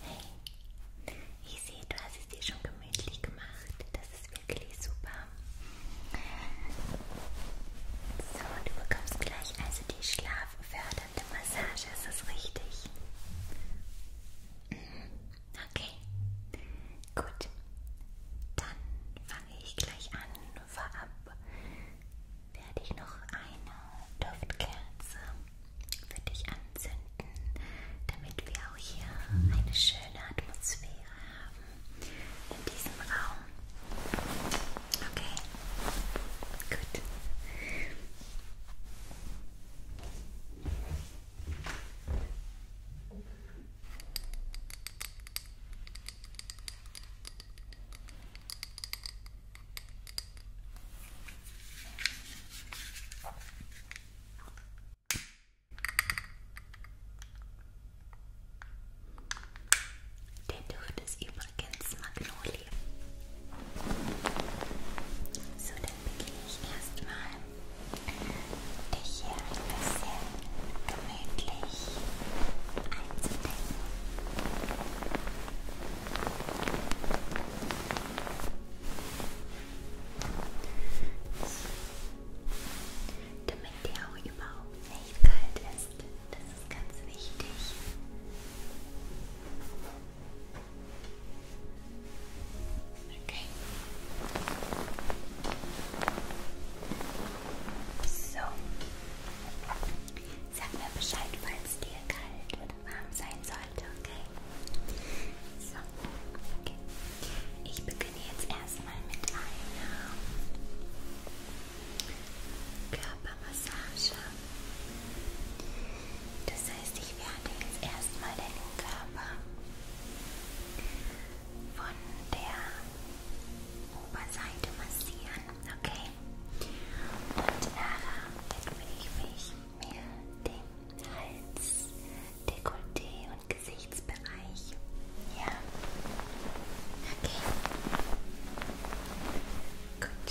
Hey, ich sehe, du hast es dir schon gemütlich gemacht. Das ist wirklich super. So, du bekommst gleich also die schlaffördernde Massage, ist das richtig? Mhm. Okay, gut. Dann fange ich gleich an vorab werde ich noch eine Duftkerze für dich anzünden, damit wir auch hier eine schöne Atmosphäre haben in diesem Raum. Okay, gut. Okay. Der Duft ist übrigens Magnolie. So, dann beginne ich erstmal, dich hier ein bisschen gemütlich einzudecken. Damit der auch überhaupt nicht kalt ist. Das ist ganz wichtig. Okay. So. Sag mir Bescheid, falls dir kalt oder warm sein sollte, okay? So, okay. Ich beginne jetzt erstmal mit einer Körpermassage. Das heißt, ich werde jetzt erstmal deinen Körper von der Oberseite massieren, okay? Und Lara, jetzt will ich mich mehr dem Hals, Dekolleté und Gesichtsbereich. Ja. Okay. Gut.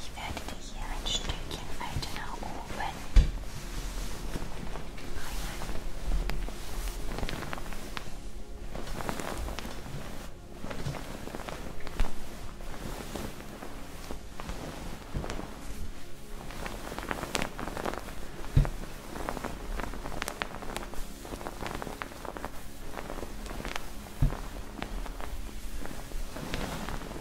So. Ich werde dir hier ein Stückchen weiter nach oben bringen.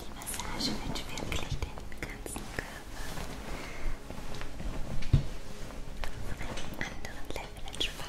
Die Massage wird wirklich den ganzen Körper auf einem anderen Level entspannen.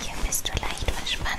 Hier bist du leicht verspannt.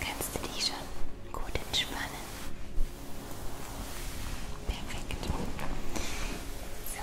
Kannst du dich schon gut entspannen? Perfekt. So. So,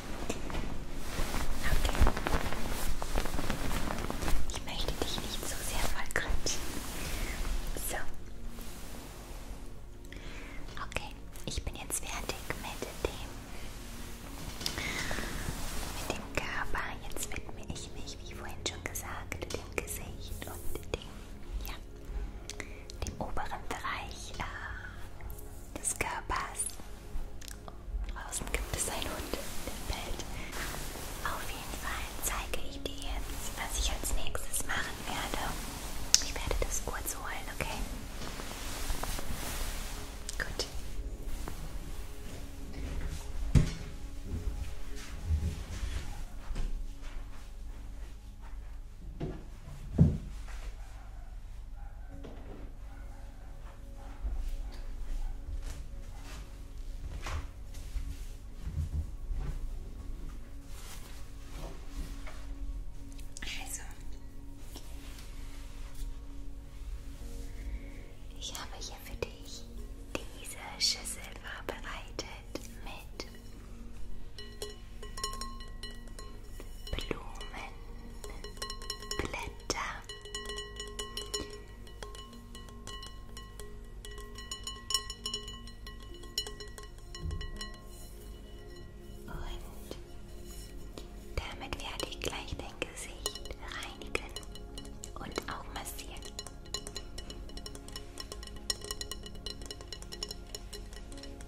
Okay. Ich möchte dich nicht so sehr voll quatschen. So. Okay, ich bin jetzt fertig mit dem mit dem Körper. Jetzt widme ich mich, wie vorhin schon gesagt, dem Gesicht und dem ja, dem oberen Bereich äh, des Körpers. Draußen gibt es einen Hund im Bild. Auf jeden Fall zeige ich dir jetzt, was ich als nächstes machen werde. Ich werde das kurz holen, okay? Gut. Also, ich habe hier für dich diese Schüssel vorbereitet mit Blumen, Blätter, und damit werde ich gleich dein Gesicht reinigen und auch massieren.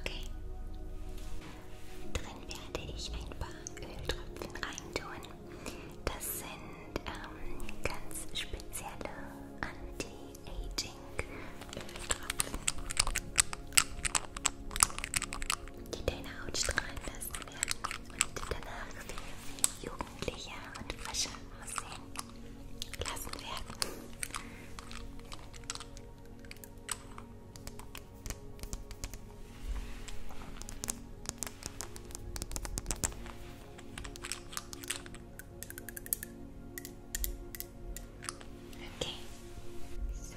Okay. Drin werde ich ein paar Öltröpfchen reintun. Das sind ähm, ganz spezielle Anti-Aging-Öltröpfchen die deine Haut strahlen lassen werden und danach viel jugendlicher und frischer aussehen lassen werden. Okay. So.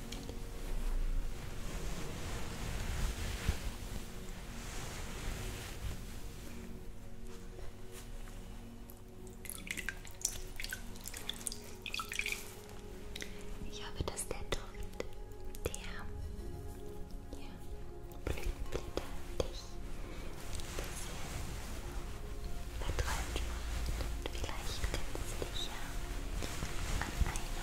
Ich hoffe, dass der Duft der ja, Blütenblätter dich verträumt macht. Und vielleicht kannst du dich ja an eine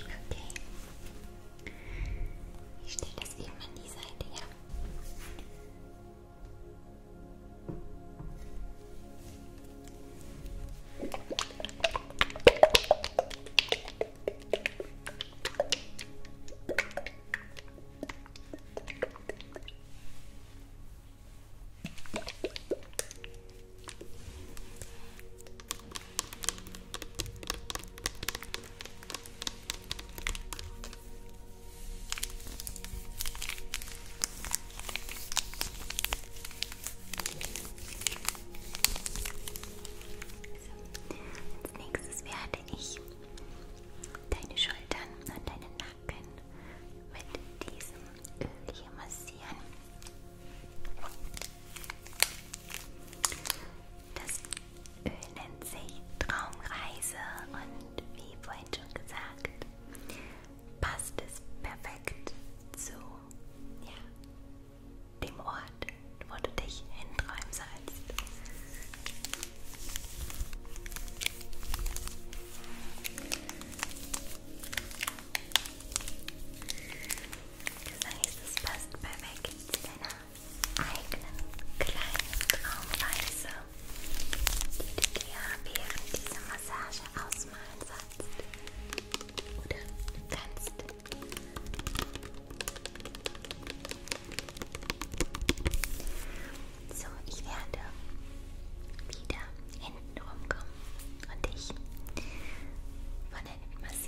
Okay. Ich stelle das eben an die Seite, ja. Als nächstes werde ich deine Schultern und deinen Nacken mit diesem Öl hier massieren. Das Öl nennt sich Traumreise und wie vorhin schon gesagt, passt es perfekt zu ja, dem Ort, wo du dich hinträumen sollst. Das heißt, es passt perfekt zu deiner eigenen kleinen Traumreise, die du dir während dieser Massage ausmalen sollst oder kannst. So, ich werde wieder hinten rumkommen und dich von der Massage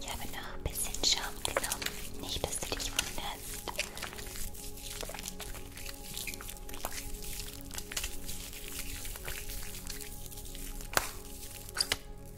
Ich habe noch ein bisschen Schaum genommen, nicht dass du dich wunderst.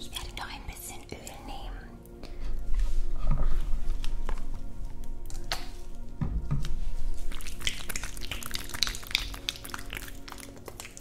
Ich werde noch ein bisschen Öl nehmen.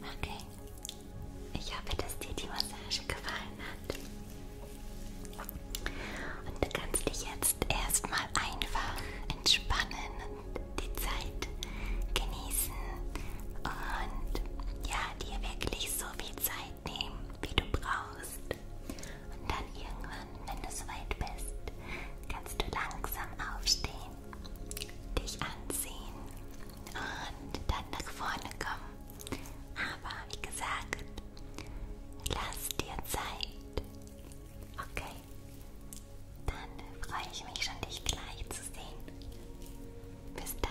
Okay, ich hoffe, dass dir die Massage gefallen hat. Und du kannst dich jetzt erstmal einfach entspannen und die Zeit genießen und ja, dir wirklich so viel Zeit nehmen, wie du brauchst brauchst. Und dann irgendwann, wenn du soweit bist, kannst du langsam aufstehen, dich anziehen und dann nach vorne kommen. Aber wie gesagt, lass dir Zeit. Okay? Dann freue ich mich schon, dich gleich zu sehen. Bis dann.